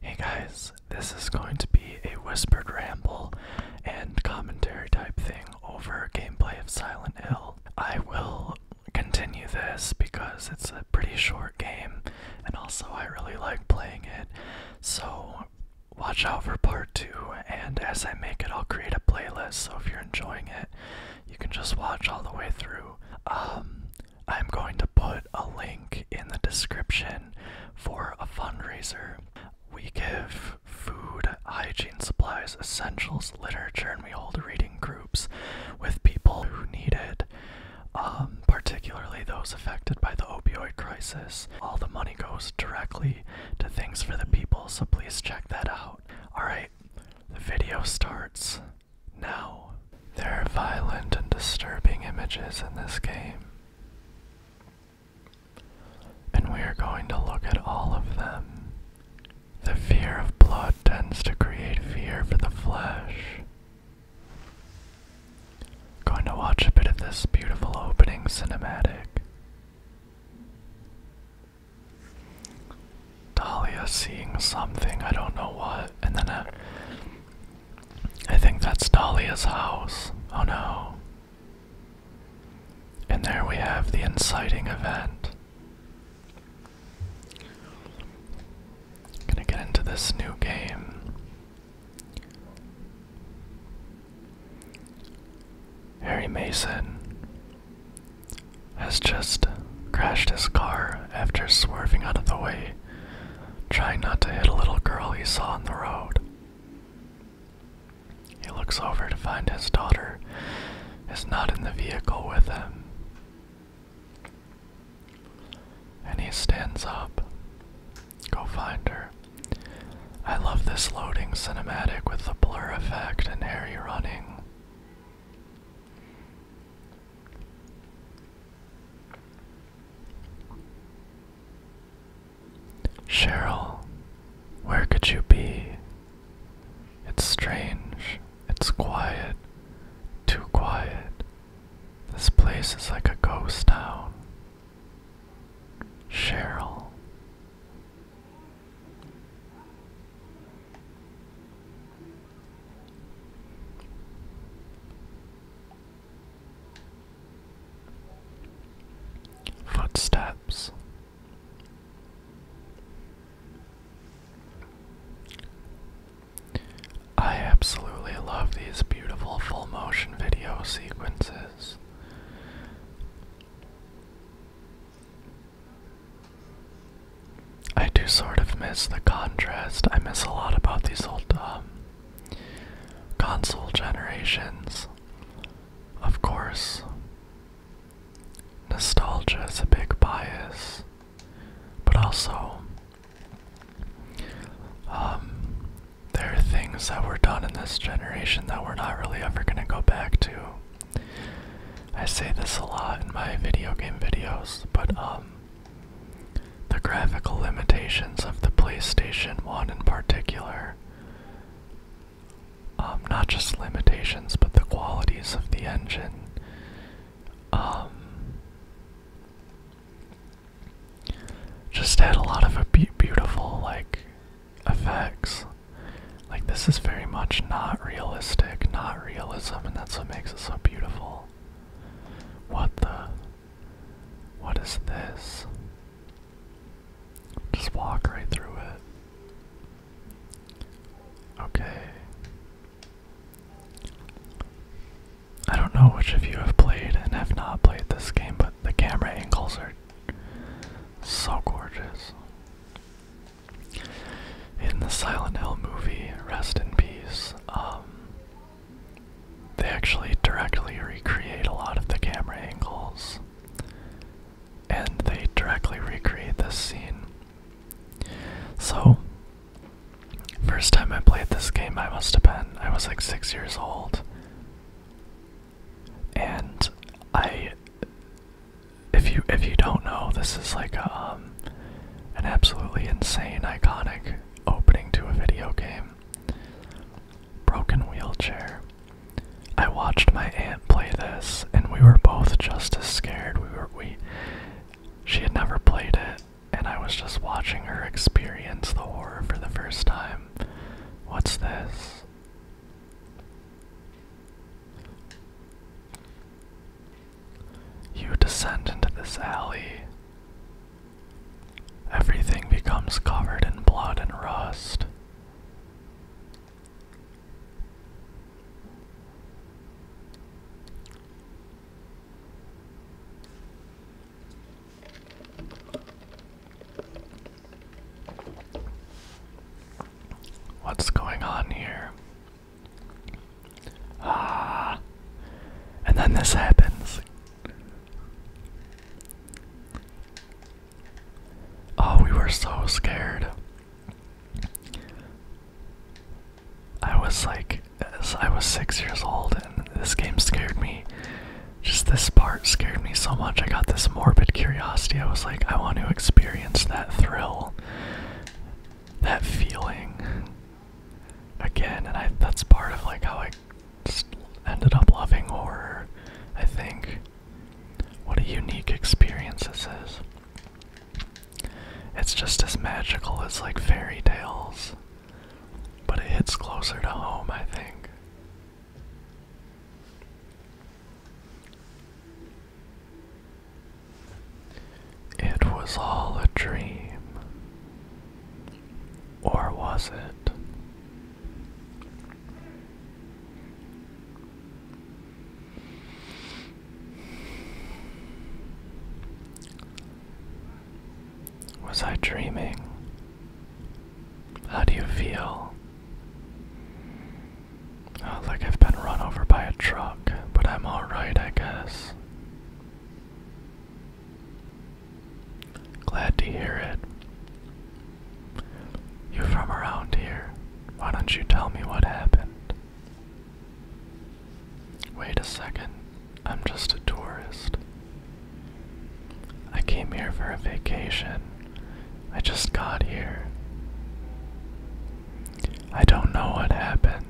Hey guys, this is going to be a whispered ramble and commentary type thing over gameplay of Silent Hill. I will continue this because it's a pretty short game and also I really like playing it, so watch out for part 2 and as I make it I'll create a playlist so if you're enjoying it you can just watch all the way through. Um, I'm going to put a link in the description for a fundraiser. We give food, hygiene supplies, essentials, literature, and we hold reading groups with people who need it, um, particularly those affected by the opioid crisis. All the money goes directly to things for the people, so please check that out. Alright, the video starts now. There are violent and disturbing images in this game. And we are going to look at all of them. The fear of blood tends to create fear for the flesh. Going to watch a bit of this beautiful opening cinematic. Dahlia seeing something, I don't know what, and then a, I think that's Dahlia's house. Oh no. And there we have the inciting event. Gonna get into this new game. Harry Mason has just crashed his car after swerving out of the way trying not to hit a little girl he saw on the road. He looks over to find his daughter is not in the vehicle with him. And he stands up. Go find her. I love this loading cinematic with the blur effect and Harry running. Cheryl, where could you be? It's strange, it's quiet, too quiet. This place is like a ghost town. Cheryl. Footsteps. I absolutely love these beautiful full motion video sequences. I do sort of miss the contrast. I miss a lot about these old um, Console generations. Of course, nostalgia is a big bias, but also um, there are things that were done in this generation that we're not really ever going to go back to. I say this a lot in my video game videos, but um, the graphical limitations of the PlayStation 1 in particular, um, not just limitations, but the qualities of the engine. Um, just had a lot of beautiful like effects. Like this is very much not realistic, not realism, and that's what makes it so beautiful. What the what is this? Just walk right through it. Okay. I don't know which of you have played and have not played this game, but the camera angles are so gorgeous. In the Silent Hill movie, rest in peace, um, they actually directly recreate a lot of the camera angles, and they directly recreate this scene. So, first time I played this game, I must have been, I was like six years old. And I, if you if you don't know, this is like a, um, an absolutely insane, iconic opening to a video game. Broken Wheelchair. I watched my aunt play this, and we were both just as scared. We were we. She had never played it, and I was just watching her experience the horror for the first time. What's this? You descend into this alley. Everything becomes covered in blood and rust. What's going on here? Ah, and then this happens. Oh, we were so scared. I was like, I was six years old, and this game scared me. Just this part scared me so much. I got this morbid curiosity. I was like, I want to experience that thrill, that feeling again. And I, that's part of like how I just ended up loving horror. I think what a unique experience this is. It's just as magical as like fairy tales, but it hits closer to home, I think. It was all a dream. Or was it? Was I dreaming? How do you feel? Oh, like I've been run over by a truck, but I'm alright, I guess. Glad to hear it. You're from around here. Why don't you tell me what happened? Wait a second. I'm just a tourist. I came here for a vacation. I just got here. I don't know what happened.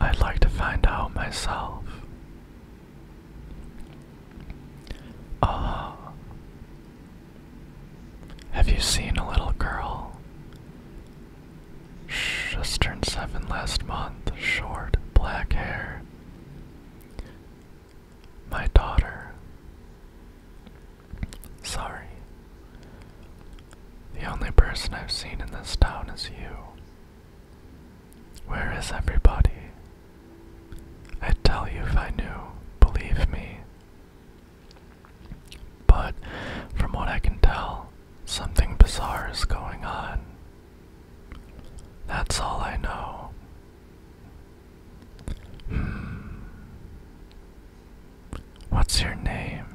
I'd like to find out myself. Ah. have you seen a little girl? just turned seven last month, short, black hair. My daughter. Sorry. The only person I've seen in this town is you. Where is everybody? I'd tell you if I knew, believe me. But from what I can tell, something bizarre is going on. That's all I know. Hmm. What's your name?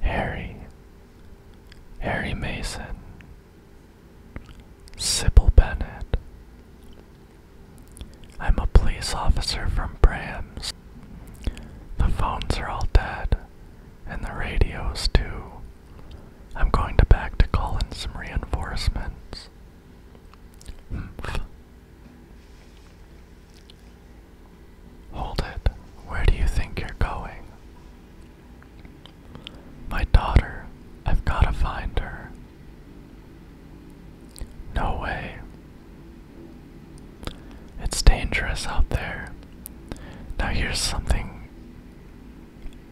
Harry, Harry Mason, Sybil Bennett. I'm a police officer from Brams. The phones are all dead, and the radios too. I'm going to back to call in some reinforcements. Hold it. Where do you think you're going? My daughter. I've gotta find her. No way. It's dangerous out there. Now here's something.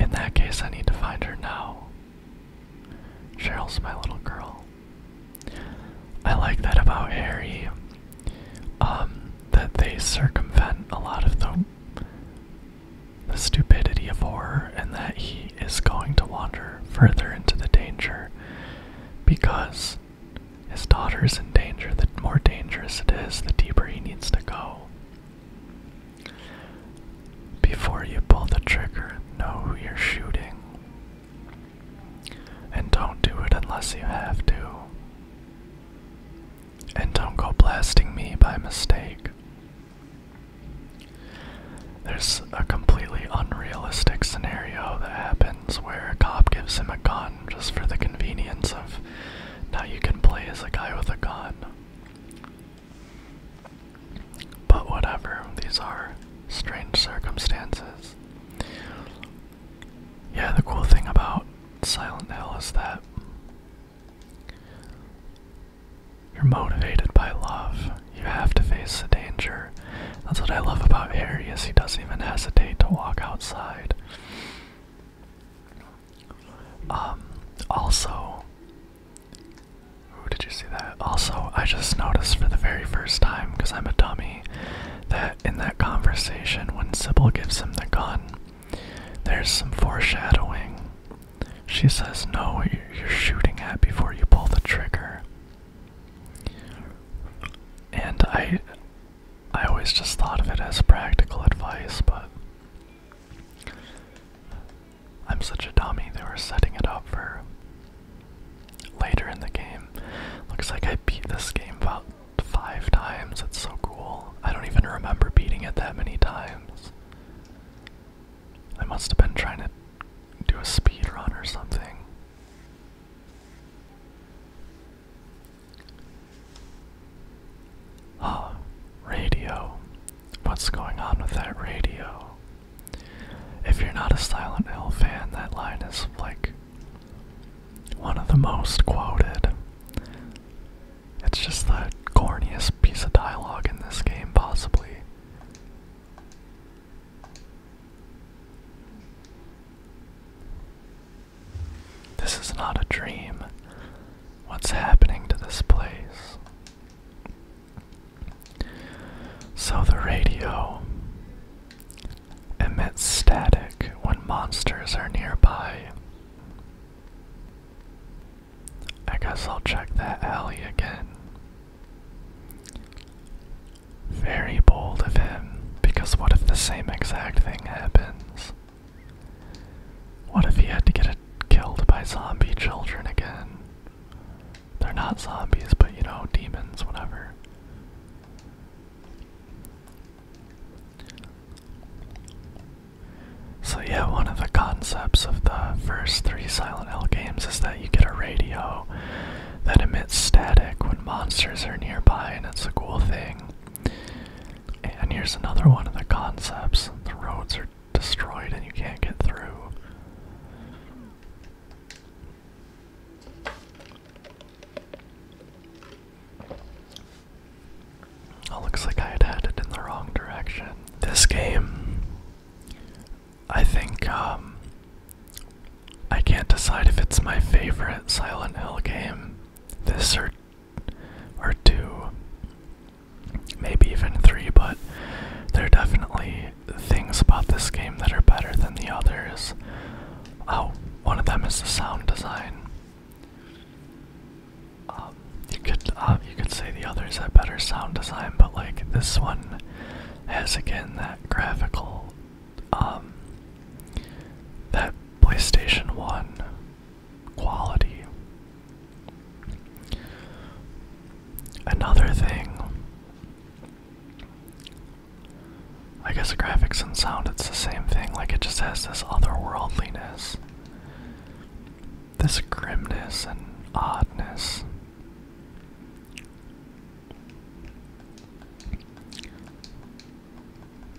In that case, I need to find her now. Cheryl's my little girl. I like that about Harry. Um, that they circumvent a lot of the, the stupidity of horror and that he is going to wander further into the danger because his daughter is in danger. The more dangerous it is, the deeper he needs to go. Before you pull the trigger, know who you're shooting. And don't do it unless you have to and don't go blasting me by mistake. There's a completely unrealistic scenario that happens where a cop gives him a gun just for the convenience of now you can play as a guy with a gun. But whatever, these are strange circumstances. Yeah, the cool thing about Silent Hill is that you're motivated by love. You have to face the danger. That's what I love about Harry is he doesn't even hesitate to walk outside. Um, also, ooh, did you see that? Also, I just noticed for the very first time, because I'm a dummy, that in that conversation when Sybil gives him the gun, there's some foreshadowing. She says, Know what you're shooting at before you pull the trigger. And I. I always just thought of it as practical advice, but I'm such a dummy. They were setting it up for later in the game. Looks like I beat this game about five times. times—it's so cool. I don't even remember beating it that many times. I must have been trying to do a speed run or something. Huh, ah, radio. What's going on with that radio? If you're not a Silent Hill fan, that line is like one of the most quoted. It's just the corniest piece of dialogue in this game, possibly. This is not a dream. What's happening to this place? So the radio emits static when monsters are nearby. I guess I'll check that alley again. Very bold of him, because what if the same exact thing happens? What if he had to get killed by zombie children again? They're not zombies, but you know, demons, whatever. So, yeah, one of the concepts of the first three Silent Hill games is that you get a radio that emits static when monsters are nearby, and it's a cool thing. And here's another one of the concepts the roads are destroyed and you can't get through. Oh, looks like I had had in the wrong direction. This game, I think, um, I can't decide if it's my favorite Silent Hill game. This or, or two, maybe even three, but there are definitely things about this game that are better than the others. Oh, one of them is the sound design. Um, you could um, you could say the others had better sound design, but like this one has again that graphical, um, that PlayStation One quality. Another thing. I guess graphics and sound, it's the same thing. Like, it just has this otherworldliness this grimness and oddness.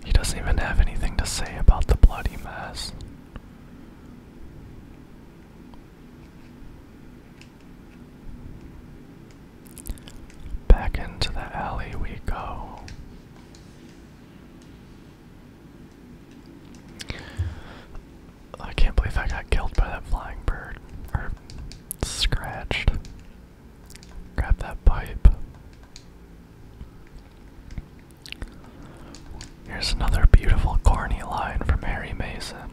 He doesn't even have anything to say about the bloody mess. Back into the alley we go. I can't believe I got killed by that flying bird. Or scratched. Grab that pipe. Here's another beautiful corny line from Harry Mason.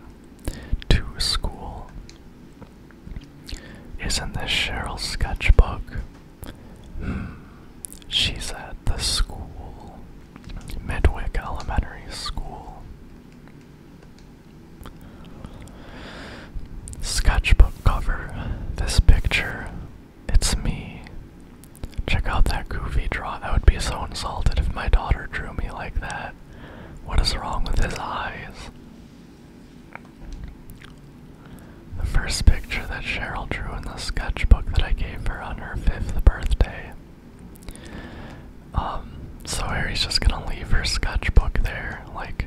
To school. Isn't this Cheryl's sketchbook? Hmm. She's at the school. Midwick Elementary School. Sketchbook cover. This picture. It's me. Check out that goofy draw. I would be so insulted if my daughter drew me like that. What is wrong with his eyes? The first picture that Cheryl drew in the sketchbook that I gave her on her fifth birthday. Um, so Harry's just gonna leave her sketchbook there, like.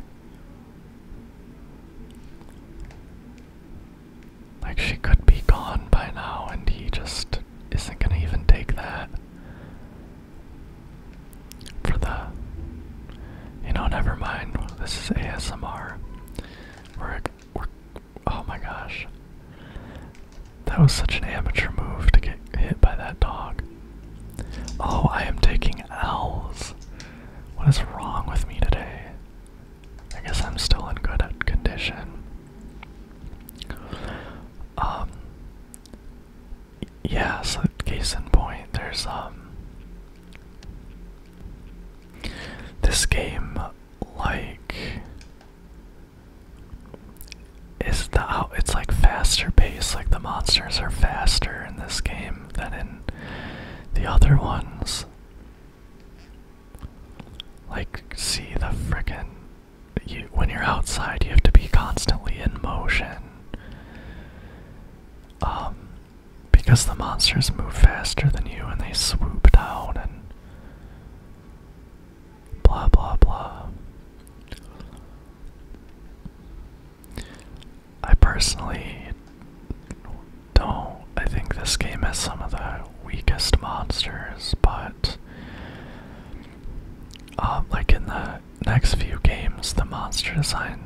Like she could be gone by now, and he just isn't gonna even take that. For the. You know, never mind. This is ASMR. We're oh my gosh. That was such an amateur move to get hit by that dog. Oh, I am taking L's. What is wrong with me today? I guess I'm still in good condition. Um. Yeah, so case in point, there's um. This game like is the it's like faster paced, like the monsters are faster in this game than in the other ones. Like see the frickin' you when you're outside you have to be constantly in motion. Um because the monsters move faster than you and they swoop down and blah blah blah. I personally don't. I think this game has some of the weakest monsters, but um, like in the next few games, the monster design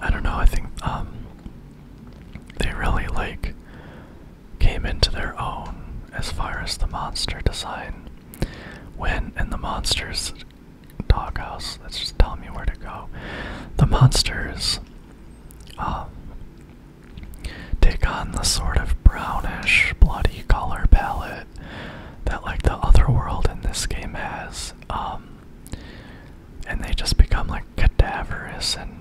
I don't know, I think um, they really like came into their own as far as the monster design. When in the monsters doghouse, that's just telling me where to go. The monsters um, take on the sort of brownish bloody color palette that like the other world in this game has. Um, and they just become like cadaverous and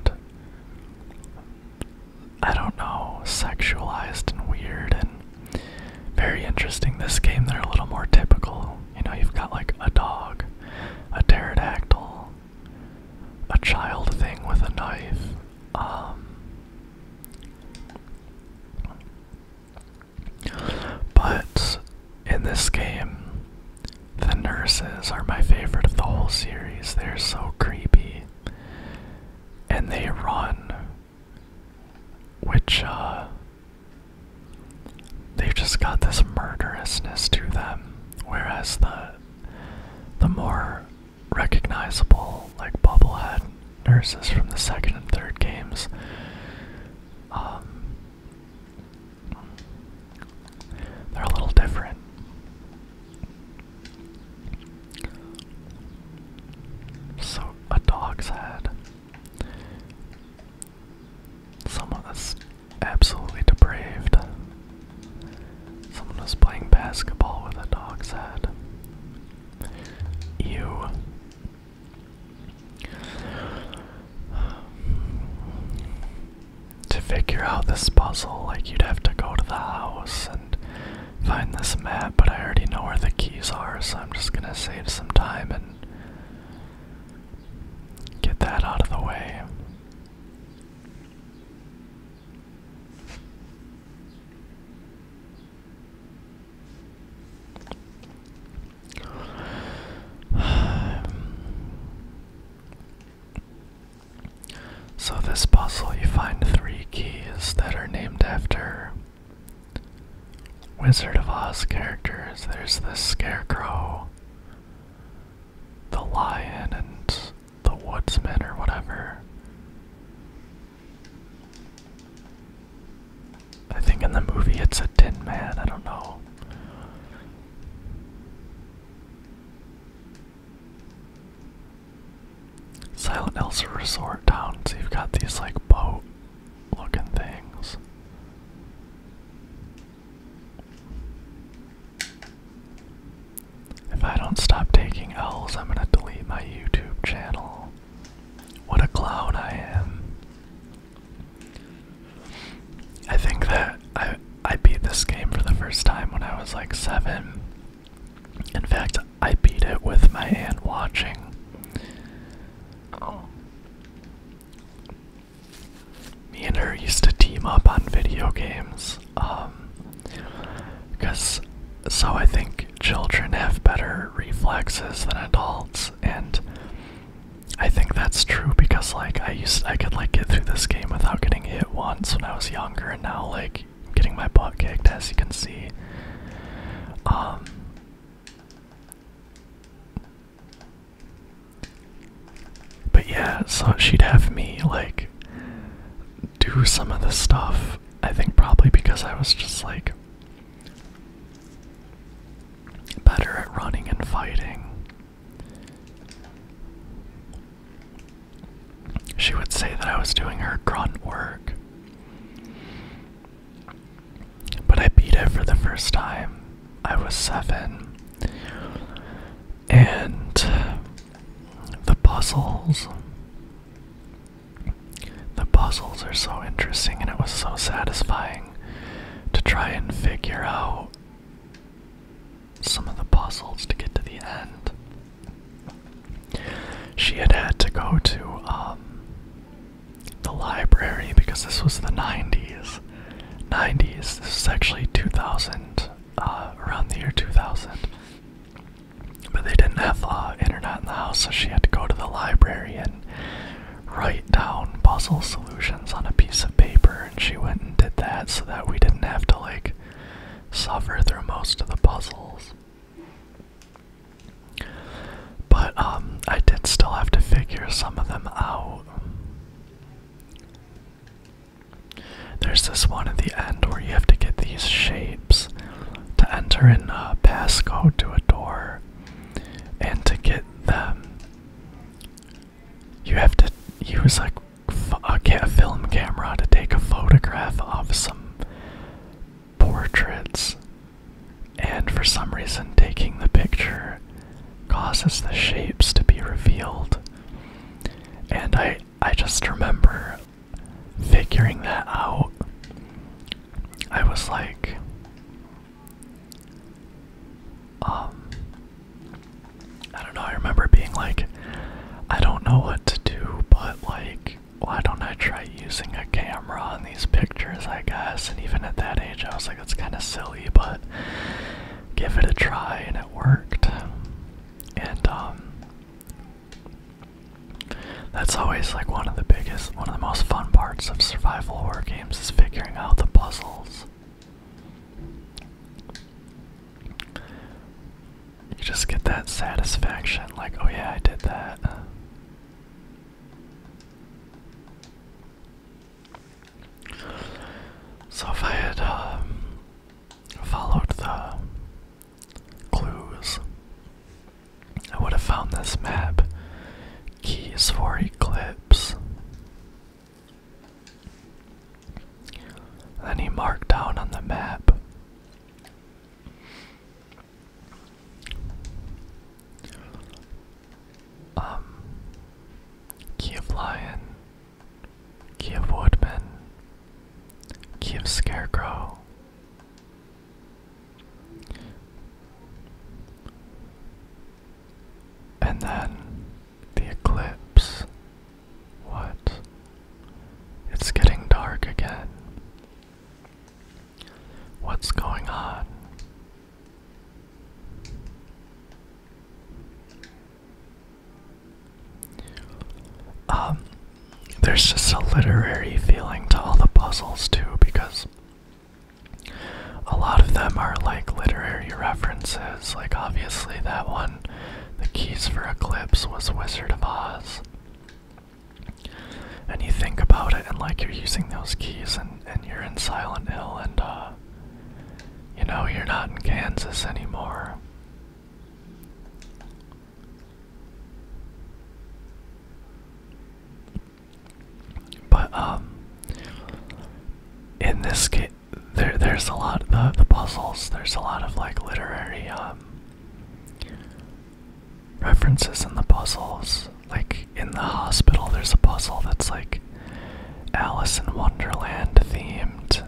I don't know, sexualized and weird and very interesting. This game, they're a little more typical. You know, you've got like a dog, a pterodactyl, a child thing with a knife. Um, but in this game, the nurses are my favorite of the whole series. They're so creepy. And they run. Which, uh. They've just got this murderousness to them. Whereas the. The more recognizable, like Bubblehead nurses from the second and third games, um, they're a little different. So, a dog's head. Someone that's absolutely depraved. Someone was playing basketball with a dog's head. Ew. To figure out this puzzle, like you'd have to go to the house and find this map, but I already know where the keys are, so I'm just gonna save some time and get that out of the way. So, this puzzle, you find three keys that are named after Wizard of Oz characters. There's the scarecrow, the lion, and the woodsman, or whatever. I think in the movie it's a tin man, I don't know. Silent Hill's resort town, you've got these like boat looking things. If I don't stop taking L's, I'm gonna delete my YouTube channel. What a clown I am. I think that I I beat this game for the first time when I was like seven. In fact, I beat it with my aunt watching. Me and her used to team up on video games, um, because so I think children have better reflexes than adults, and I think that's true because like I used I could like get through this game without getting hit once when I was younger and now like getting my butt kicked as you can see. Um But yeah, so she'd have me like do some of the stuff. I think probably because I was just like better at running and fighting. She would say that I was doing her grunt work. But I beat it for the first time. I was seven. And the puzzles. The puzzles are so interesting, and it was so satisfying to try and figure out some of the puzzles to get to the end. She had had to go to um, the library because this was the 90s. 90s, this is actually 2000, uh, around the year 2000. But they didn't have uh, internet in the house, so she had to go to the library and write down puzzle solutions on a piece of paper and she went and did that so that we didn't have to like suffer through most of the puzzles. But um I did still have to figure some of them out. There's this one at the end where you have to get these shapes to enter in a passcode to a door and to get them you have to use a, a film camera to take a photograph of some portraits, and for some reason, taking the picture causes the shapes to be revealed. And I, I just remember figuring that out. I was like, um, I don't know, I remember being like, I don't know what to do, but like, why don't I try using a camera on these pictures, I guess? And even at that age, I was like, it's kind of silly, but give it a try, and it worked. And, um, That's always like one of the biggest, one of the most fun parts of survival horror games is figuring out the puzzles. You just get that satisfaction, like, oh yeah, I did that. So if I had um, followed the clues, I would have found this map. Keys for Eclipse. Then he marked down on the map um, Kiev Lion, Kiev Woodman, Kiev Scarecrow. And then the eclipse. What? It's getting dark again. What's going on? Um, there's just a literary feeling to all the puzzles, too, because a lot of them are like literary references. Like, obviously, that one, The Keys for Eclipse, was Wizard of Oz. And you think about it, and like you're using those keys, and, and you're in Silent Hill, and uh, you know, you're not in Kansas anymore. But um in this game there there's a lot the the puzzles there's a lot of like literary um, references in the puzzles like in the hospital there's a puzzle that's like Alice in Wonderland themed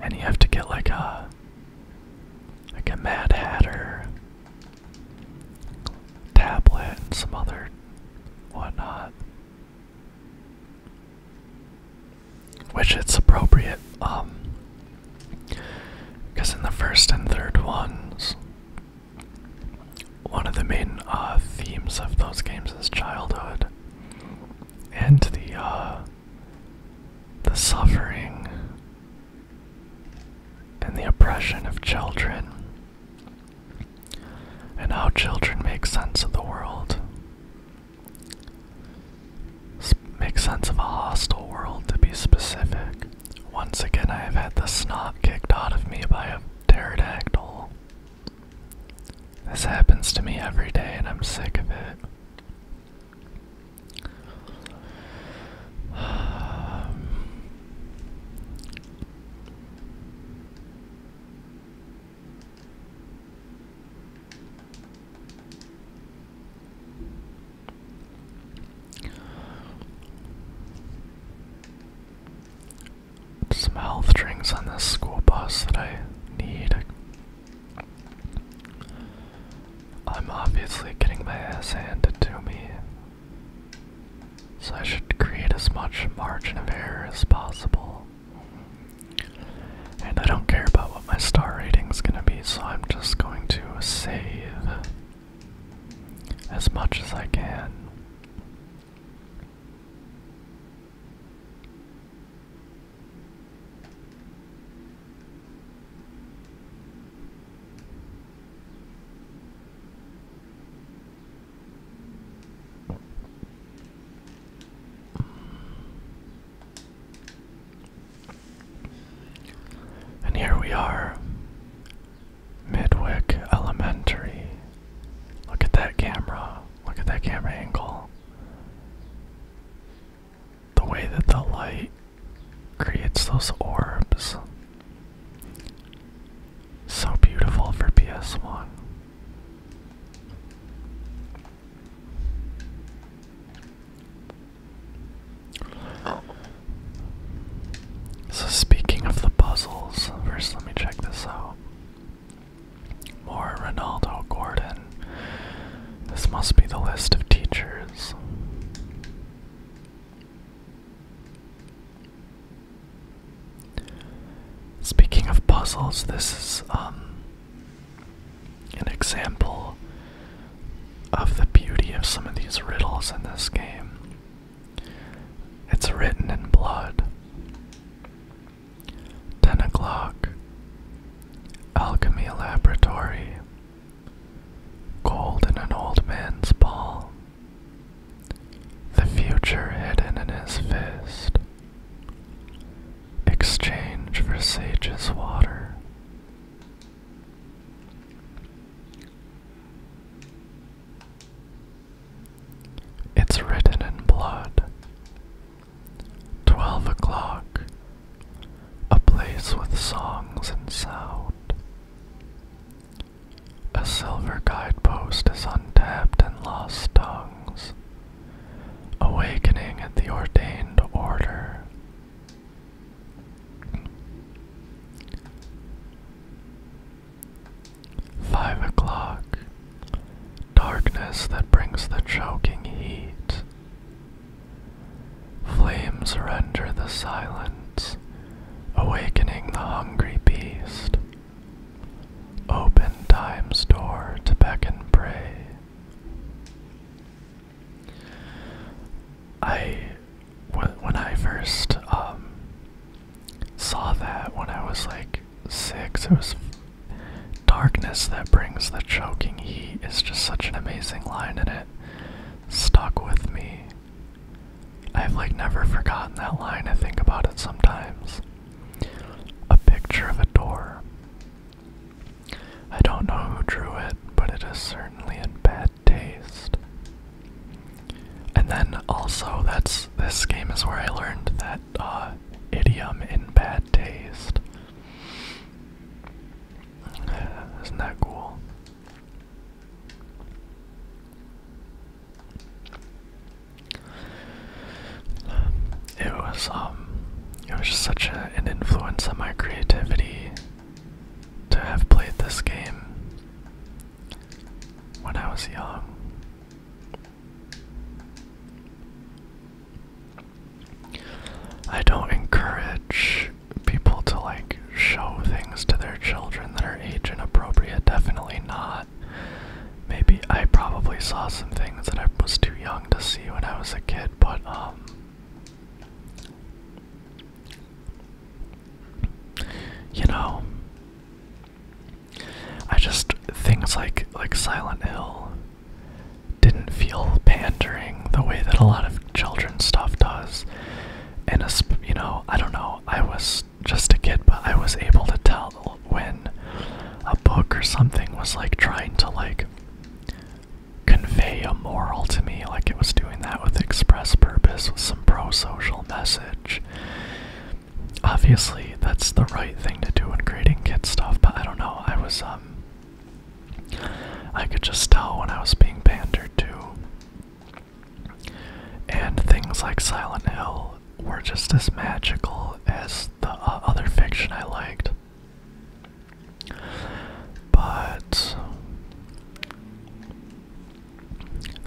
and you have to get like a like a Mad Hatter tablet and some other whatnot. Which it's appropriate, um, because in the first and third ones, one of the main uh, themes of those games is childhood and the uh, the suffering and the oppression of children and how children make sense of the world. S make sense of a hostile world, to be specific. Once again, I have had the snot kicked out of me by a pterodactyl. This happens to me every day, and I'm sick of it. Some health drinks on this school bus that I need. I'm obviously getting my ass handed to me, so I should create as much margin of error as possible. And I don't care about what my star rating is gonna be, so I'm just going to save as much as I can. And here we are, Midwick Elementary. Look at that camera. Look at that camera angle. The way that the light creates those orbs. So beautiful for PS1. So, speaking of the puzzles, first let me check this out. More Ronaldo Gordon. This must be the list of teachers. Speaking of puzzles, this is um, an example of the beauty of some of these riddles in this game. It's written in blood. 10 o'clock. Alchemy Laboratory. Gold in an old man's palm. The future hidden in his fist. Exchange for Sage's water. It's written in blood. Twelve o'clock. A place with songs and sound. A silver guidepost is untapped and lost tongues awakening at the ordained order. Five o'clock, darkness that brings the choking heat. Flames render the silence, awakening the hungry beast. Open time's door to beckon prey. I, when I first um, saw that, when I was like six, it was darkness that brings the choking heat. Is just such an amazing line, and it stuck with me. I've like never forgotten that line. I think about it sometimes. A picture of a door, I don't know who drew it, but it is certainly in bad taste. And then also, that's this game is where I learned that uh, idiom in bad taste. Isn't that cool? it was um, it was just such an influence on my creativity to have played this game when I was young. I don't encourage people to like show things to their children that are age inappropriate, definitely not. Maybe I probably saw some things that I was too young to see when I was a kid, but um you know I just things like like Silent Hill didn't feel pandering the way that a lot of children's stuff does. And, a, you know, I don't know, I was just a kid, but I was able to tell when a book or something was like trying to like convey a moral to me, like it was doing that with express purpose, with some pro-social message. Obviously, that's the right thing to do when creating kid stuff, but I don't know. I was um. I could just tell when I was being pandered to. And things like Silent Hill were just as magical as the uh, other fiction I liked. But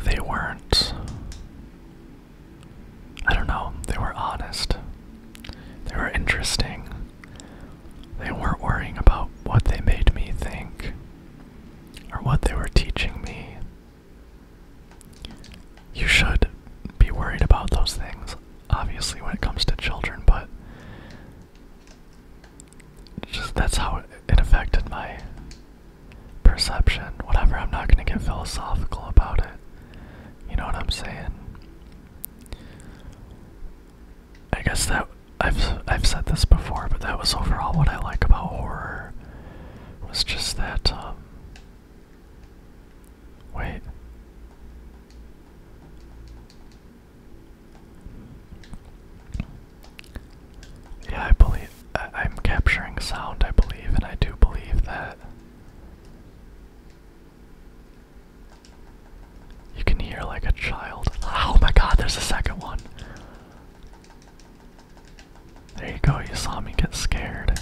they weren't. I don't know, they were honest. They were interesting. They weren't worrying about what they made me think or what they were teaching me you should be worried about those things, obviously, when it comes to children, but just that's how it affected my perception. Whatever, I'm not going to get philosophical about it. You know what I'm saying? I guess that I've I've said this before, but that was overall what I like about horror was just that um, Wait. Yeah, I believe I am capturing sound, I believe, and I do believe that you can hear like a child. Oh my god, there's a second one. There you go, you saw me get scared.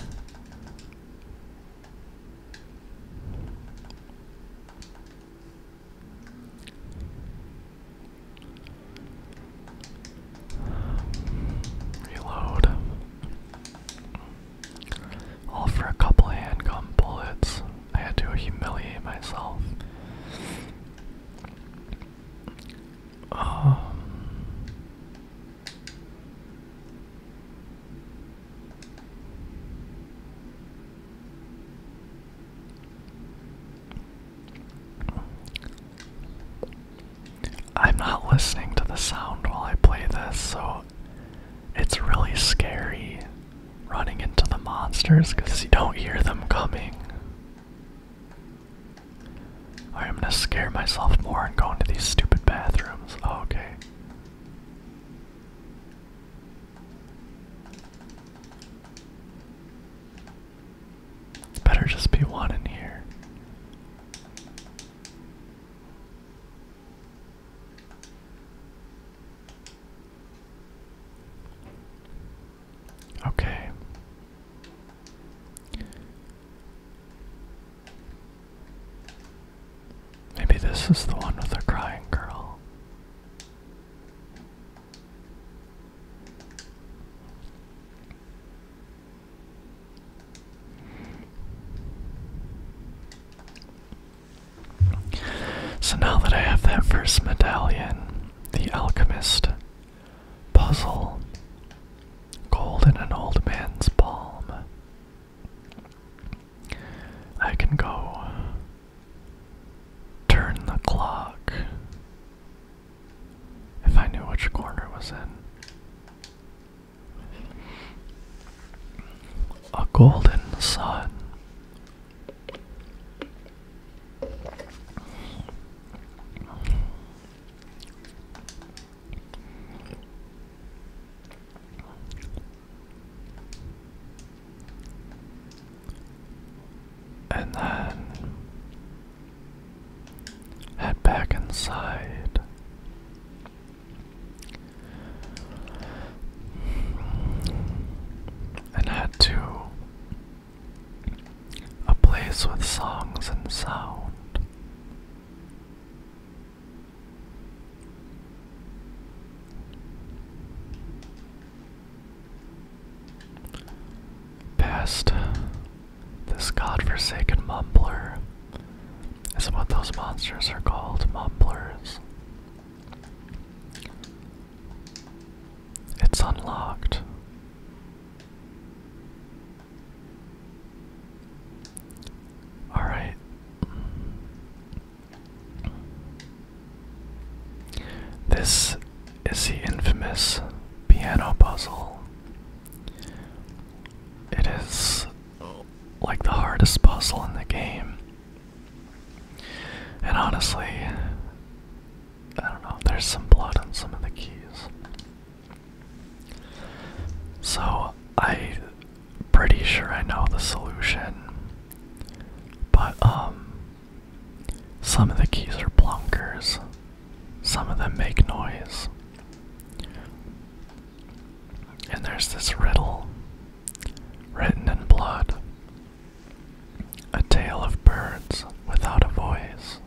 Reload. All for a couple handgun bullets. I had to humiliate myself. Um, I'm not listening to the sound while I play this, so it's really scary running into the monsters because you don't hear them coming. I'm gonna scare myself more and go into these stupid bathrooms. Oh, okay better just be one in here. Okay. Maybe this is the one with the crying girl. So now that I have that first medallion, the alchemist puzzle, gold in an old man's palm, I can go turn the clock if I knew which corner it was in. A golden sun. And then head back inside. And head to a place with songs and sound. Past this godforsaken mumbler is what those monsters are called mumblers. It's unlocked. Alright. This is the infamous piano puzzle. It is like the hardest puzzle in the game. And honestly, I don't know, there's some blood on some of the keys. So I pretty sure I know the solution. But, um, some of the keys are plunkers, some of them make noise. And there's this riddle written in blood a tale of birds without a voice.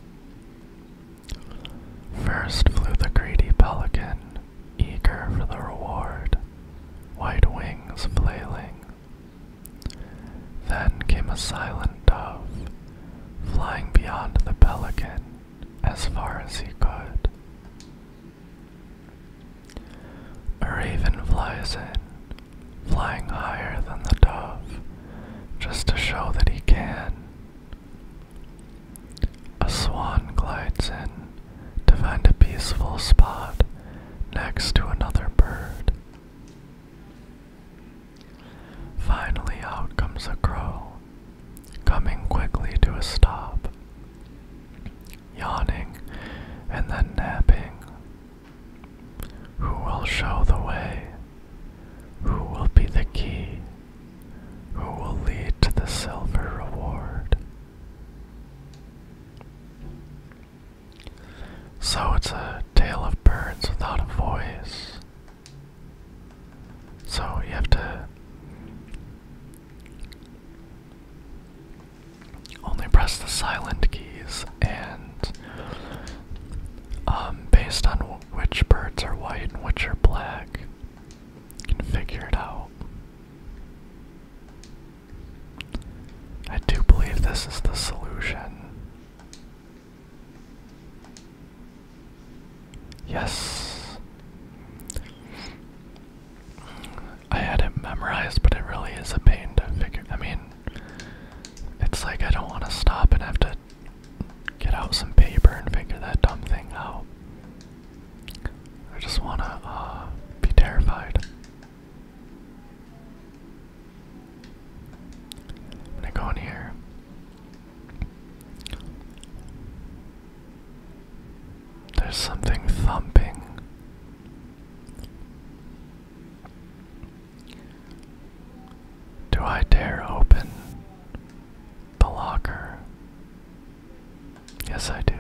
First flew the greedy pelican, eager for the reward, white wings flailing. Then came a silent dove, flying beyond the pelican as far as he could. A raven flies in, flying higher than the dove, just to show that he can. A swan glides in to find a peaceful spot next to another bird. Finally, out comes a crow, coming quickly to a stop, yawning and then napping. Who will show the way? Who will be the key? Who will lead to the silver reward? So it's a tale of birds without a voice. So you have to only press the silent keys, and um, based on which birds are white and which are black, you can figure it out. I do believe this is the solution. Yes. I had it memorized, but it really is a pain to figure. I mean, it's like I don't want to stop and have to get out some paper and figure that dumb thing out. I just want to uh, be terrified. I'm go in here. There's something thumping. Do I dare open the locker? Yes, I do.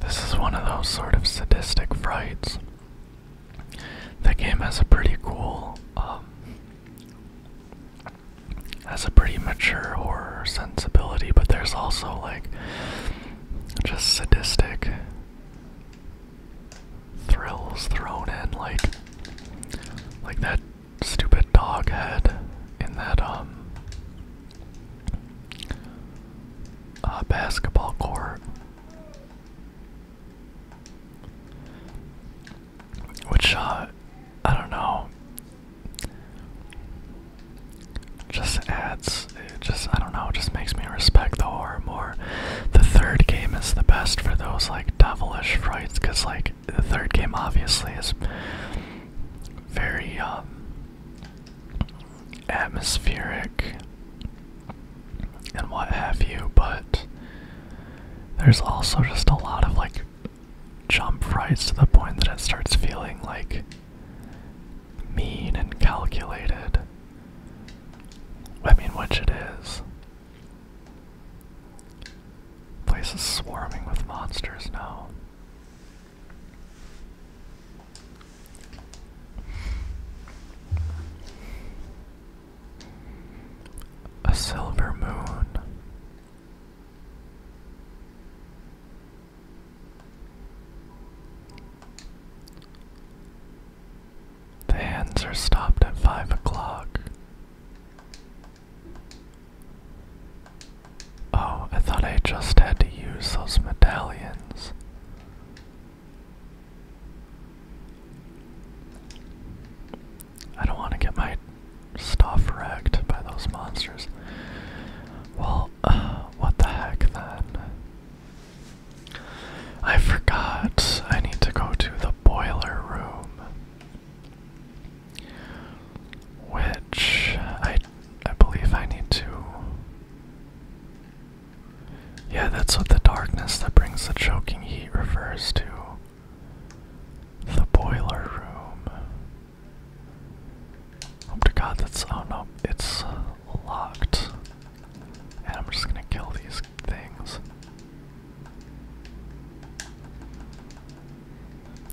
This is one of those sort of sadistic frights. The game has a pretty cool, um, has a pretty mature horror sensibility, but there's also like just sadistic thrills thrown in, like like that stupid dog head in that um uh, basketball court. Which, uh, I don't know just adds it just I don't know, just makes me respect the horror more. The third game is the best for those like devilish frights cuz like the third game obviously is very um atmospheric and what have you, but there's also just a lot of like jump frights to the point that it starts feeling like mean and calculated. I mean, which it is. Place is swarming with monsters now. A silver moon. The hands are stopped at five o'clock. Oh, I thought I just had to use those medallions. I don't want to get my stuff wrecked by those monsters. Well, what the heck then? I forgot I need to go to the boiler room. Which I I believe I need to Yeah, that's what the darkness that brings the choking heat refers to. The boiler room. Hope oh to God that's oh no, it's locked. And I'm just gonna kill these things.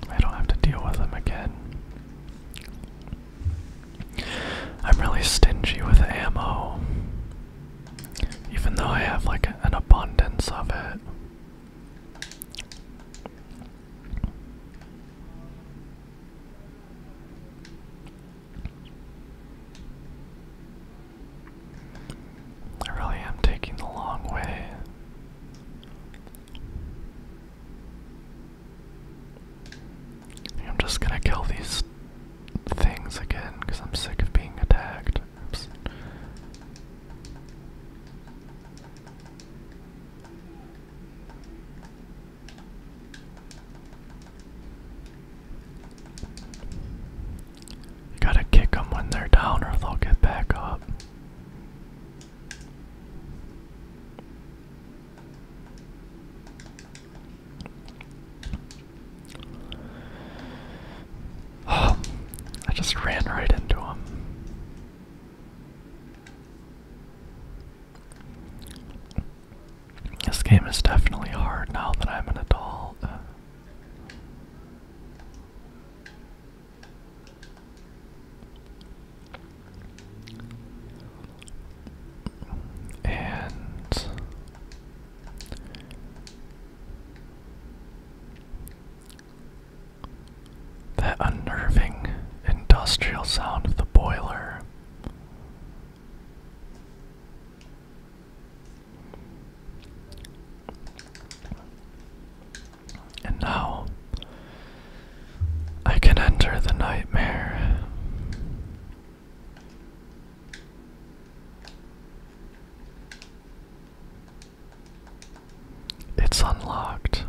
I don't have to deal with them again. I'm really stingy with ammo. Even though I have like an abundance of it. I really am taking the long way. I'm just gonna kill these things again because I'm sick of being attacked. You gotta kick them when they're down or they'll get back up. Oh, I just ran right into him. This game is definitely hard now that I'm an adult. Uh, and that unnerving industrial sound of the boiler and now I can enter the nightmare. It's unlocked.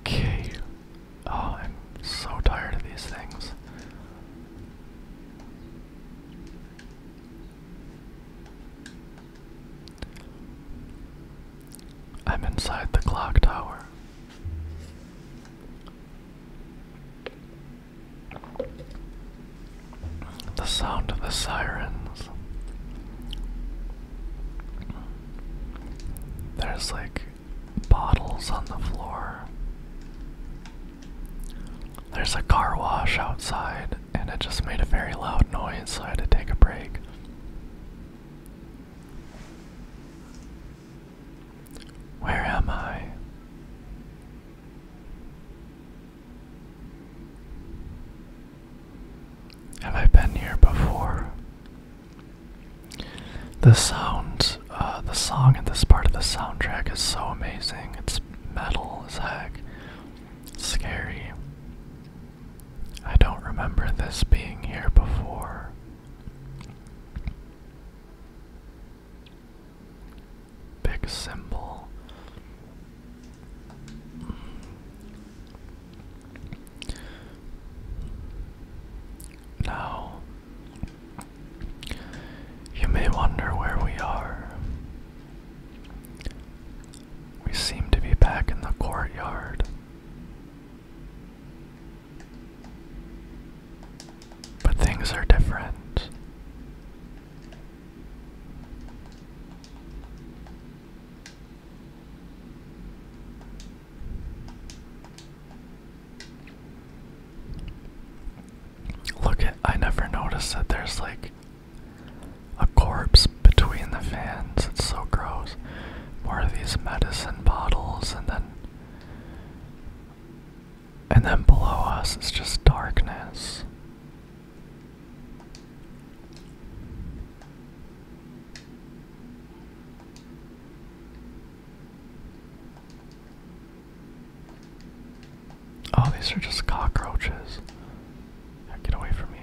Okay. Oh, I'm so tired of these things. I'm inside the clock tower. The sound of the sirens. There's like bottles on the floor. There's a car wash outside, and it just made a very loud noise, so I had to take a break. Where am I? Have I been here before? The sound, uh, the song in this part of the soundtrack is so amazing. It's metal as heck. scary. I don't remember this being here before. Big symbol. Now, you may wonder where we are. We seem to be back in the courtyard. But things are different. Look at I never noticed that there's like a corpse between the fans. It's so gross. More of these medicine bottles and then and then below us it's just darkness. Oh, these are just cockroaches. get away from me.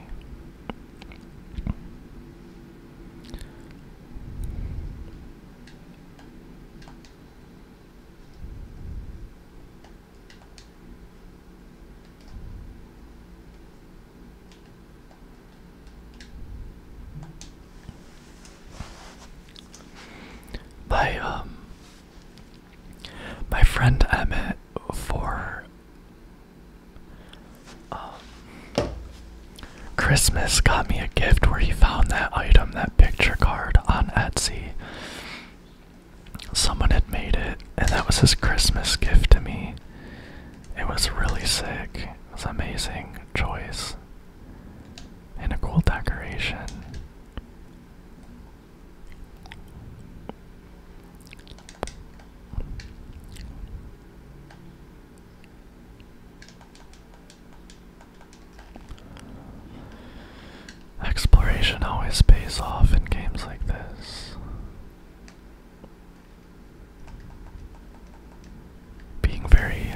My um my friend Emmett for um, Christmas got me a gift where he found that item, that picture card on Etsy. Someone had made it, and that was his Christmas gift to me. It was really sick. It was amazing choice. And a cool decoration. Exploration always pays off in games like this being very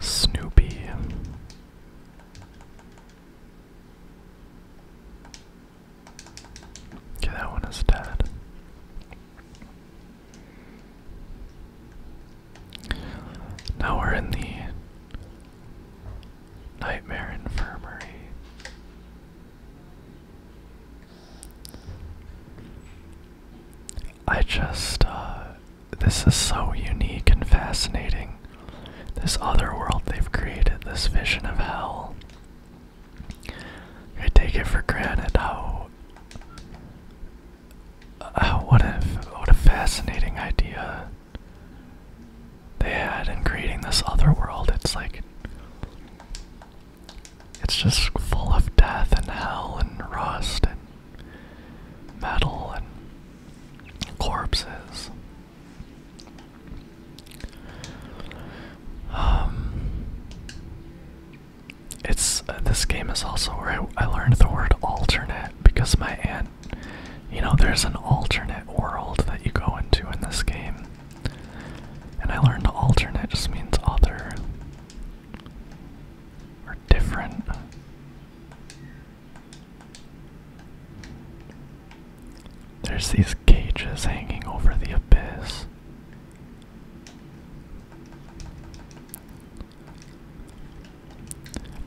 snoopy. Okay, that one is dead. Now we're in the Nightmare Infirmary. I just, uh, this is so unique and fascinating. This other world they've created, this vision of hell. I take it for granted how. Uh, what a what a fascinating idea they had in creating this other world. It's like it's just full of death and hell and rust and metal and corpses. Um, it's uh, this game is also where I, I learned the word alternate because my aunt, you know, there's an alternate world that you go into in this game. And I learned alternate just means other or different. There's these cages hanging over the abyss.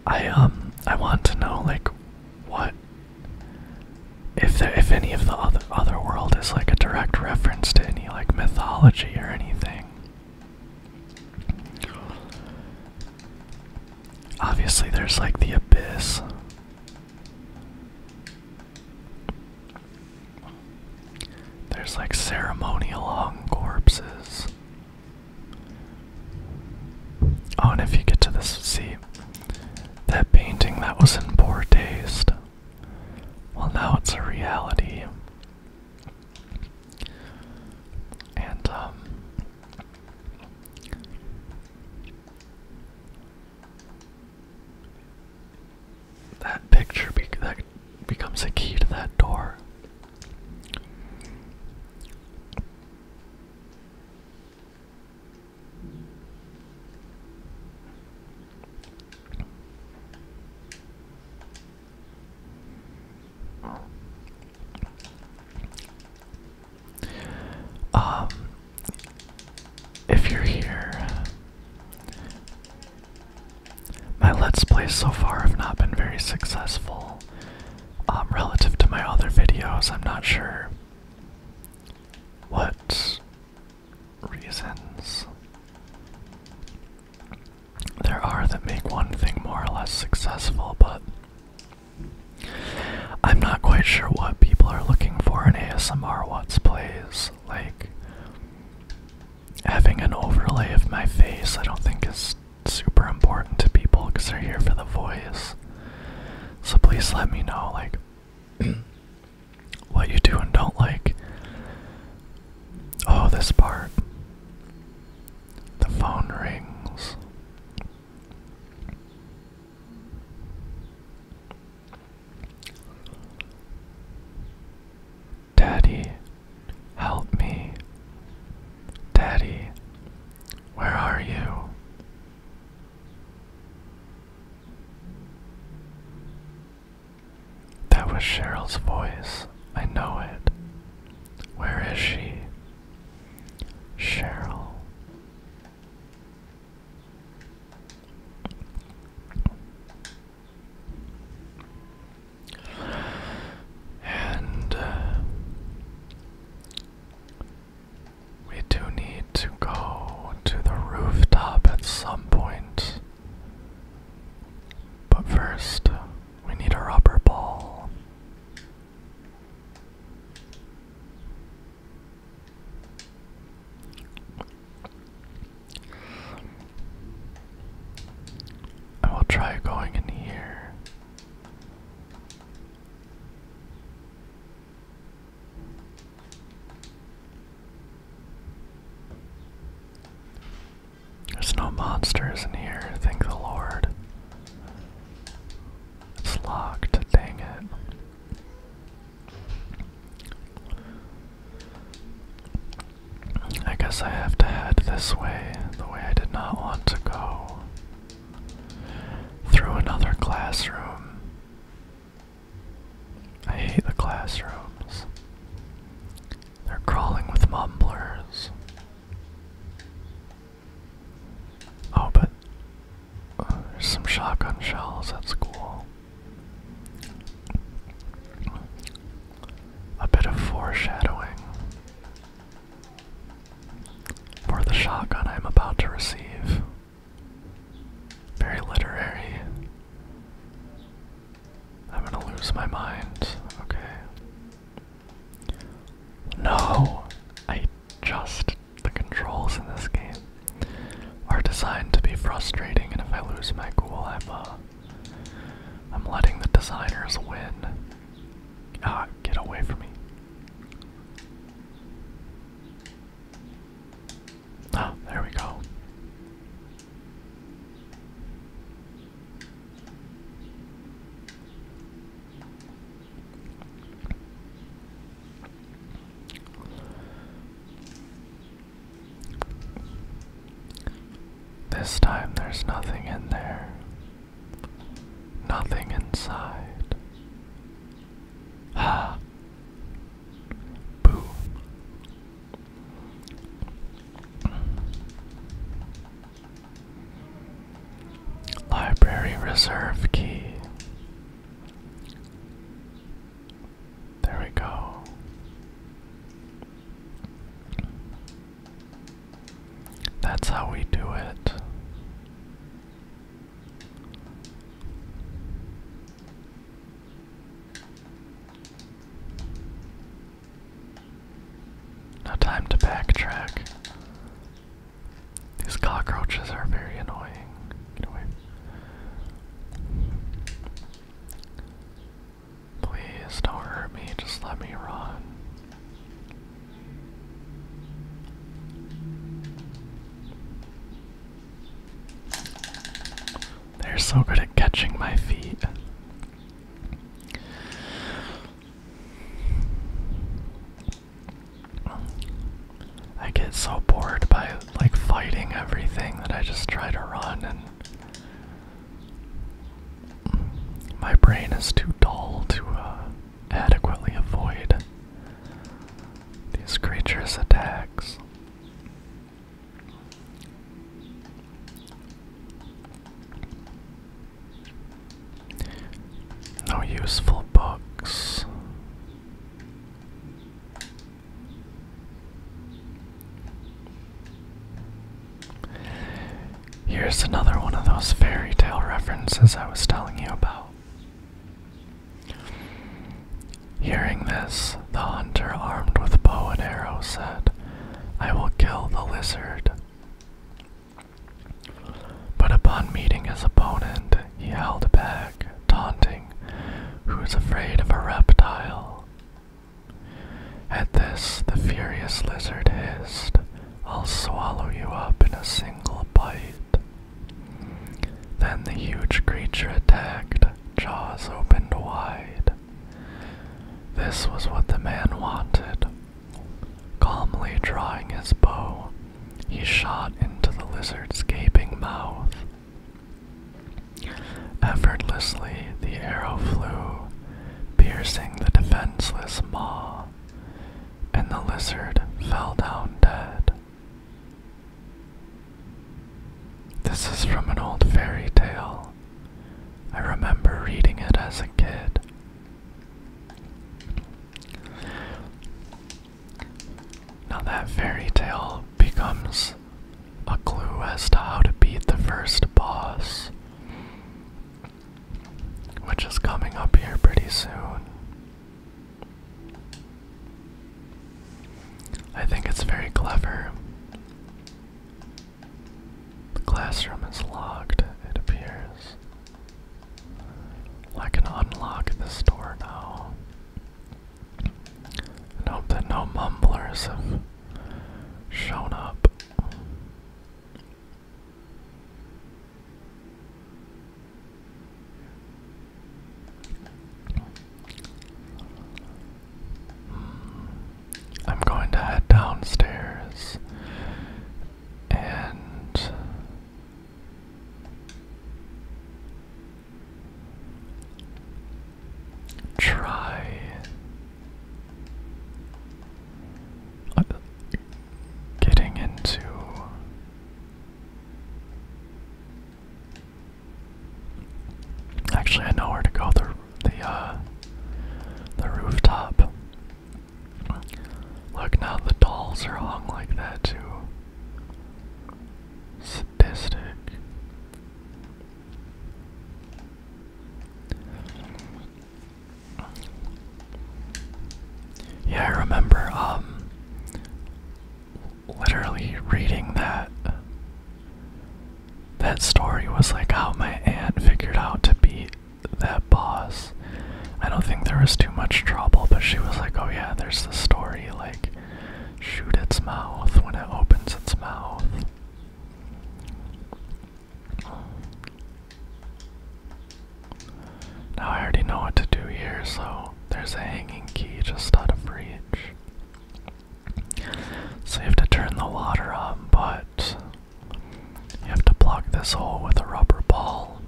I um I want to know like what if if any of the other other world is like a direct reference to any like mythology or anything. Obviously, there's like the abyss. There's like ceremonial hung corpses. Oh, and if you get to this, see that painting that was in poor taste. Well, now it's a reality. And, um, That picture that becomes key to that door. Um, if you're here, my Let's Plays so far have not been very successful. Um, relative to my other videos, I'm not sure what reasons there are that make one thing more or less successful, but I'm not quite sure what people are looking for in ASMR What's Plays. Like, having an overlay of my face, I don't think is super important to people because they're here for the voice. So please let me know, like, what you do and don't like. Oh, this part. The phone rings. Daddy, help me. Daddy, where are you? That was Cheryl's voice. I know it. Where is she? Cheryl. And uh, we do need to go to the rooftop at some point. But first, we need a rubber ball. I will try going in here. There's no monsters in here, thank the Lord. It's locked, dang it. I guess I have to head this way, the way I did not want to go. Through another classroom. I hate the classrooms. They're crawling with mumblers. Oh, but uh, there's some shotgun shells. at school. A bit of foreshadowing for the shotgun I'm about to receive. Very literary. I'm gonna lose my mind. Okay. No! I just. The controls in this game are designed to be frustrating, and if I lose my cool, I'm, uh. I'm letting the designers win. Ah, get away from me. Ah, there we go. This time there's nothing in there, nothing inside. Ah, Library reserve key. There we go. That's how we do it. No time to backtrack. These cockroaches are very annoying. Get away. Please don't hurt me, just let me run. They're so good at catching my feet. I get so bored by like fighting everything that I just try to run and my brain is too dull to uh, adequately avoid these creatures' attacks. No useful books. Here's another one of those fairy tale references I was telling you about. Hearing this, the hunter armed with bow and arrow said, I will kill the lizard. But upon meeting his opponent, he held back, taunting, Who is afraid of a reptile? At this, the furious lizard hissed, I'll swallow you up in a single bite. Then the huge creature attacked, jaws opened wide. This was what the man wanted. Calmly drawing his bow, he shot into the lizard's gaping mouth. Effortlessly, the arrow flew, piercing the defenseless maw, and the lizard fell down dead. This is from an old fairy tale. I remember reading it as a kid. Now, that fairy tale becomes a clue as to how to beat the first boss, which is coming up here pretty soon. I think it's very clever. The classroom is locked, it appears. I can unlock this door now. hope that no mumblers have shown up. I'm going to head downstairs and try getting into Actually, I know where to go. The uh, the rooftop. Look now, the dolls are hung like that too. Sadistic. Yeah, I remember um literally reading that that story was like how my aunt figured out to beat that boss. I don't think there was too much trouble, but she was like, "Oh yeah, there's the story like shoot its mouth when it opens its mouth." Now I already know what to do here, so there's a hanging key just out of reach. So you have to turn the water on, but you have to block this hole with a rubber ball.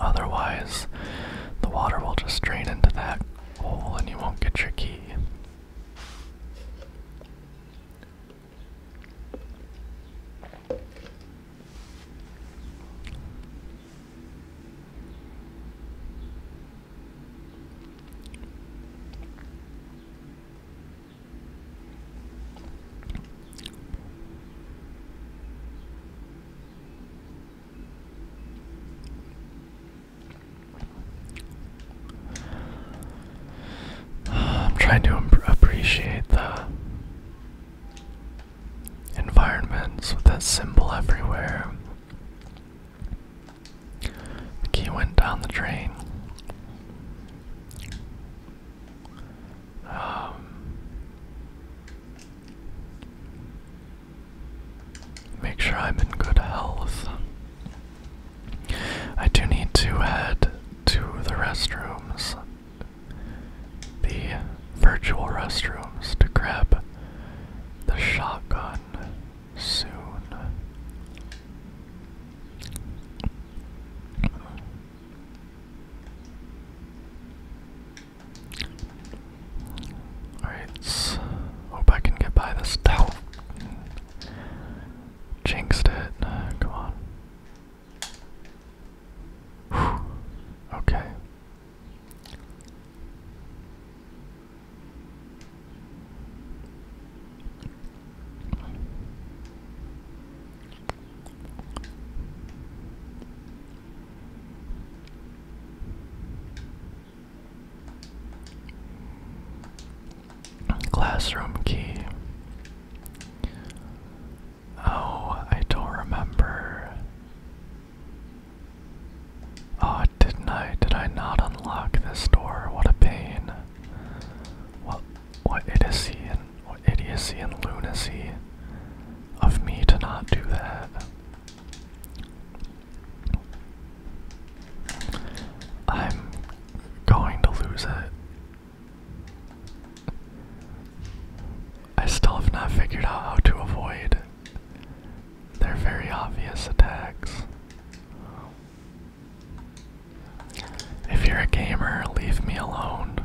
Otherwise, the water will just drain into that hole and you won't get your key. I'm trying to appreciate the environments with that symbol everywhere. The key went down the drain. Um, make sure I'm in good health. I do need to head to the restrooms, the virtual restrooms, to grab the shotgun soon. Alright, hope I can get by this Jinxed it. come on. Okay. Classroom key. Oh, I don't remember. Oh, didn't I? Did I not unlock this door? What a pain. What, what idiocy and what idiocy and lunacy of me to not do that. I'm going to lose it. I still have not figured out how to avoid their very obvious attacks. If you're a gamer, leave me alone.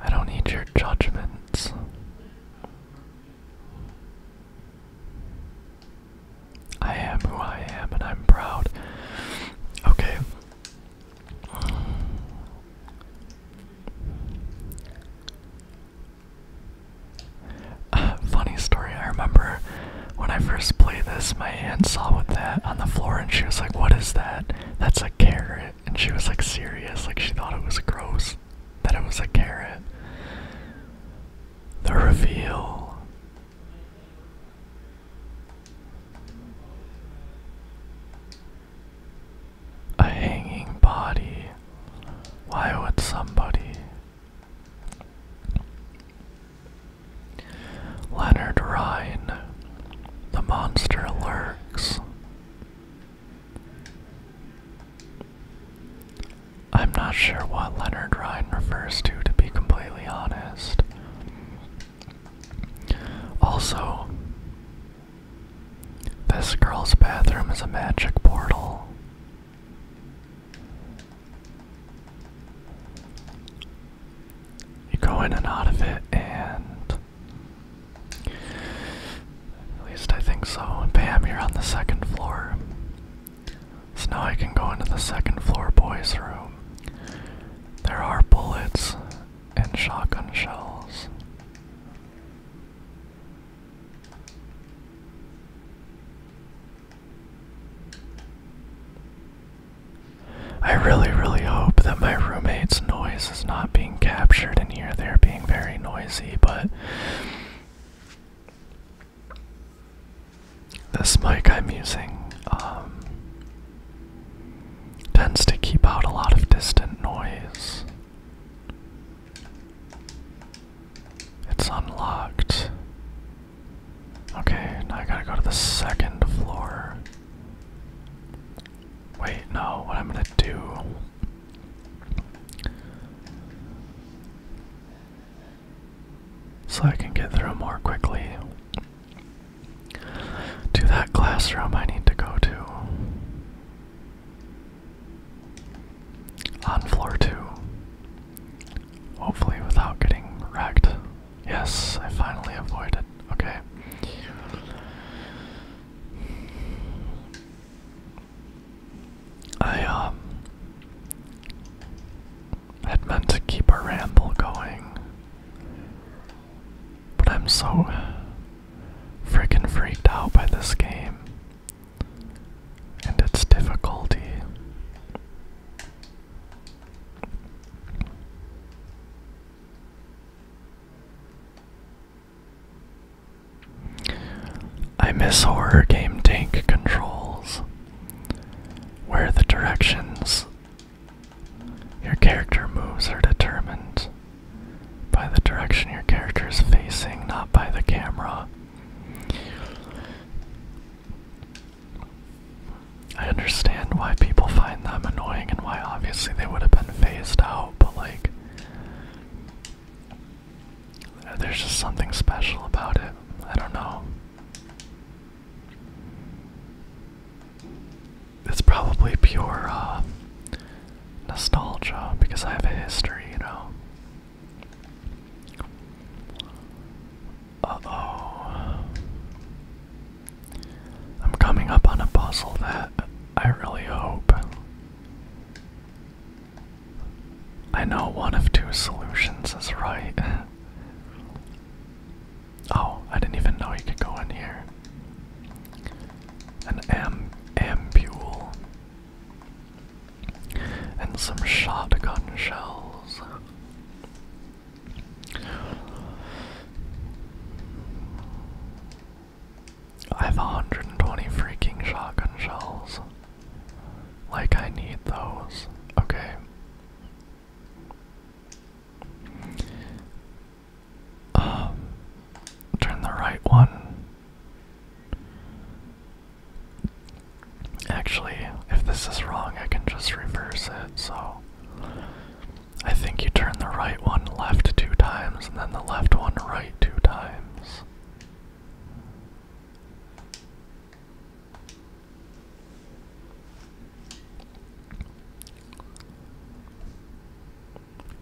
I don't need your judgments. I am who I am and I'm proud. Okay. funny story, I remember when I first played this, my aunt saw what that on the floor and she was like, What is that? That's a carrot. And she was like serious, like she thought it was gross that it was a carrot. The reveal. A hanging body. Why would somebody? Leonard Rhine. The monster lurks. I'm not sure what Leonard Rhine refers to, to be completely honest. Also, this girl's bathroom is a magic portal. You go in and out of it, and at least I think so. Bam, you're on the second floor. So now I can go into the second floor boys' room. There are bullets and shotgun shells. I really, really hope that my roommate's noise is not being captured in here. They're being very noisy, but this mic I'm using um, tends to keep out a lot of distant noise. It's unlocked. Okay, now I gotta go to the second floor. Wait, no, what I'm gonna do so I can get through more quickly. To that classroom I need to go to. On floor two. Hopefully, without getting wrecked. Yes, I finally avoided. Okay. I, um had meant to keep our ramble going. But I'm so freaking freaked out by this game and its difficulty. I miss horror game tank controls, where the directions your character moves are determined by the direction your character is facing, not by the camera. I understand why people find them annoying and why obviously they would have been phased out, but like, there's just something special about it. I don't know. It's probably pure uh, nostalgia because I have a history, you know. Uh oh. I'm coming up on a puzzle that I really hope. I know one of two solutions is right. Oh, I didn't even know you could go in here. An am ampule. And some shotgun shells. I have 120 freaking shotgun shells. Like, I need those. Okay. Um, turn the right one. Actually, if this is wrong, I can just reverse it, so. I think you turn the right one left two times and then the left one right two times.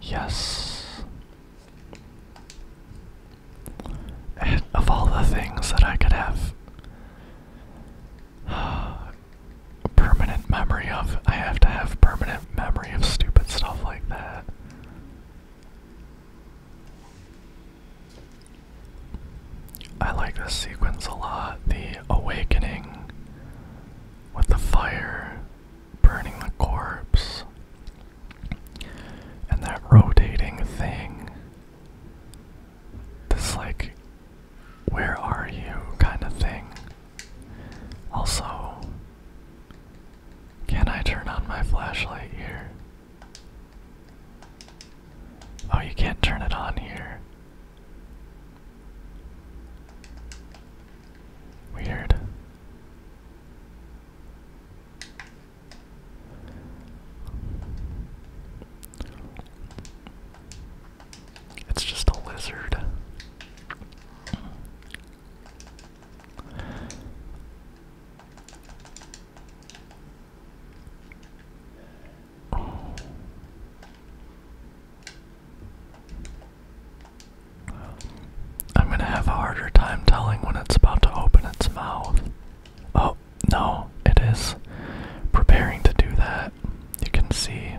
Yes. of all the things that I could have permanent memory of, I have to have permanent memory of stupid stuff like that. I like this sequence a lot. The awakening with the fire burning the corpse and that rotating thing. This, like, where are you kind of thing. Also, can I turn on my flashlight here? Oh, you can't turn it on here. Weird. It's just a lizard. I'm gonna have a harder time telling when it's about to open its mouth. Oh, no, it is preparing to do that. You can see.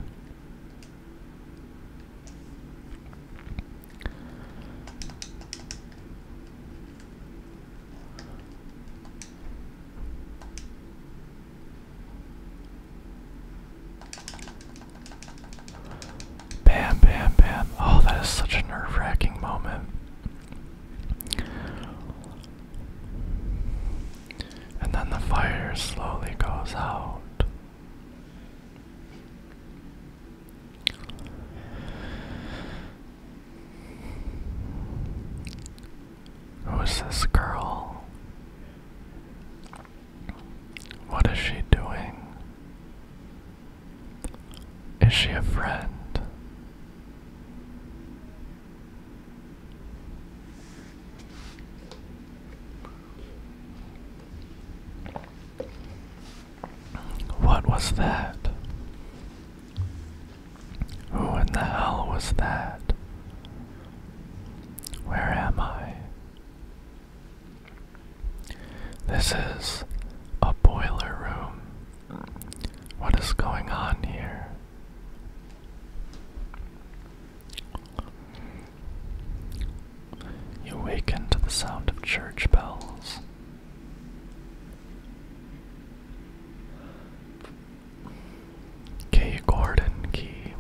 Bam, bam, bam. Oh, that is such a nerve wracking moment. And then the fire slowly goes out. Who's this girl? What is she doing? Is she a friend? What was that? Who in the hell was that? Where am I? This is a boiler room. What is going on here? You awaken to the sound of church bells. K Gordon key.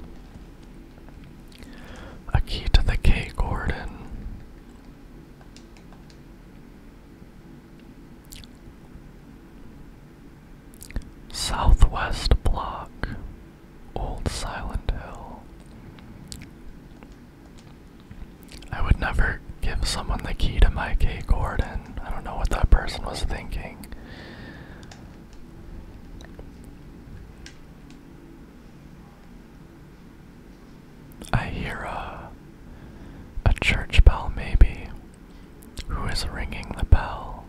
A key to the K Gordon. Southwest Block, Old Silent Hill. I would never give someone the key to my K Gordon. I don't know what that person was thinking. I hear a, a church bell, maybe. Who is ringing the bell?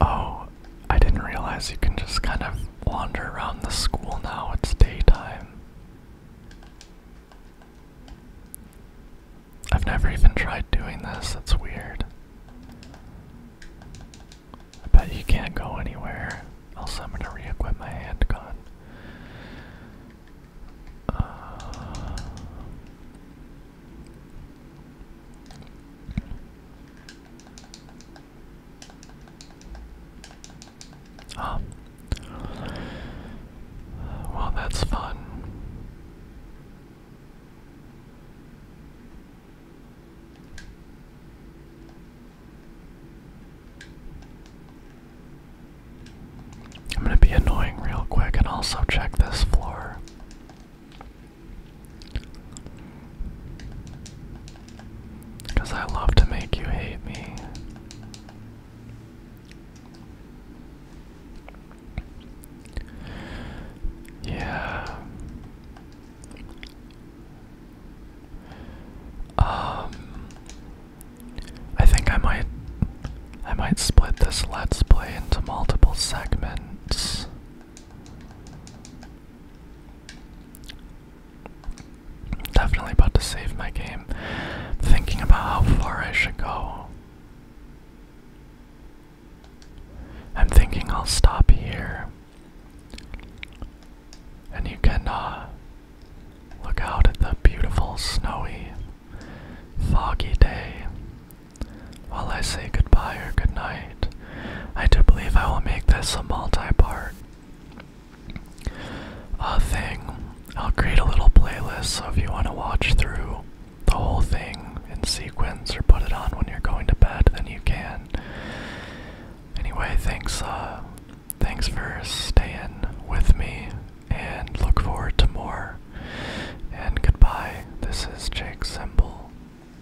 Oh, I didn't realize you can just kind of wander around the school now. It's daytime. I've never even tried doing this. That's weird. I bet you can't go anywhere. Also, I'm gonna re-equip my handgun. Uh, um. Well, that's fun. I'm gonna be annoying real quick and also check this floor. Because I love to make you hate me. Yeah. Um I think I might I might split this let's play into multiple segments Definitely about to save my game. Thinking about how far I should go. I'm thinking I'll stop here. And you can uh, look out at the beautiful, snowy, foggy day while I say goodbye or goodnight, I do believe I will make this a multi-part uh, thing. I'll create a little playlist so if you want to watch through the whole thing in sequence or put it on when you're going to bed, then you can. Anyway, thanks, uh, thanks for staying with me and look forward to more. And goodbye. This is Jake Semble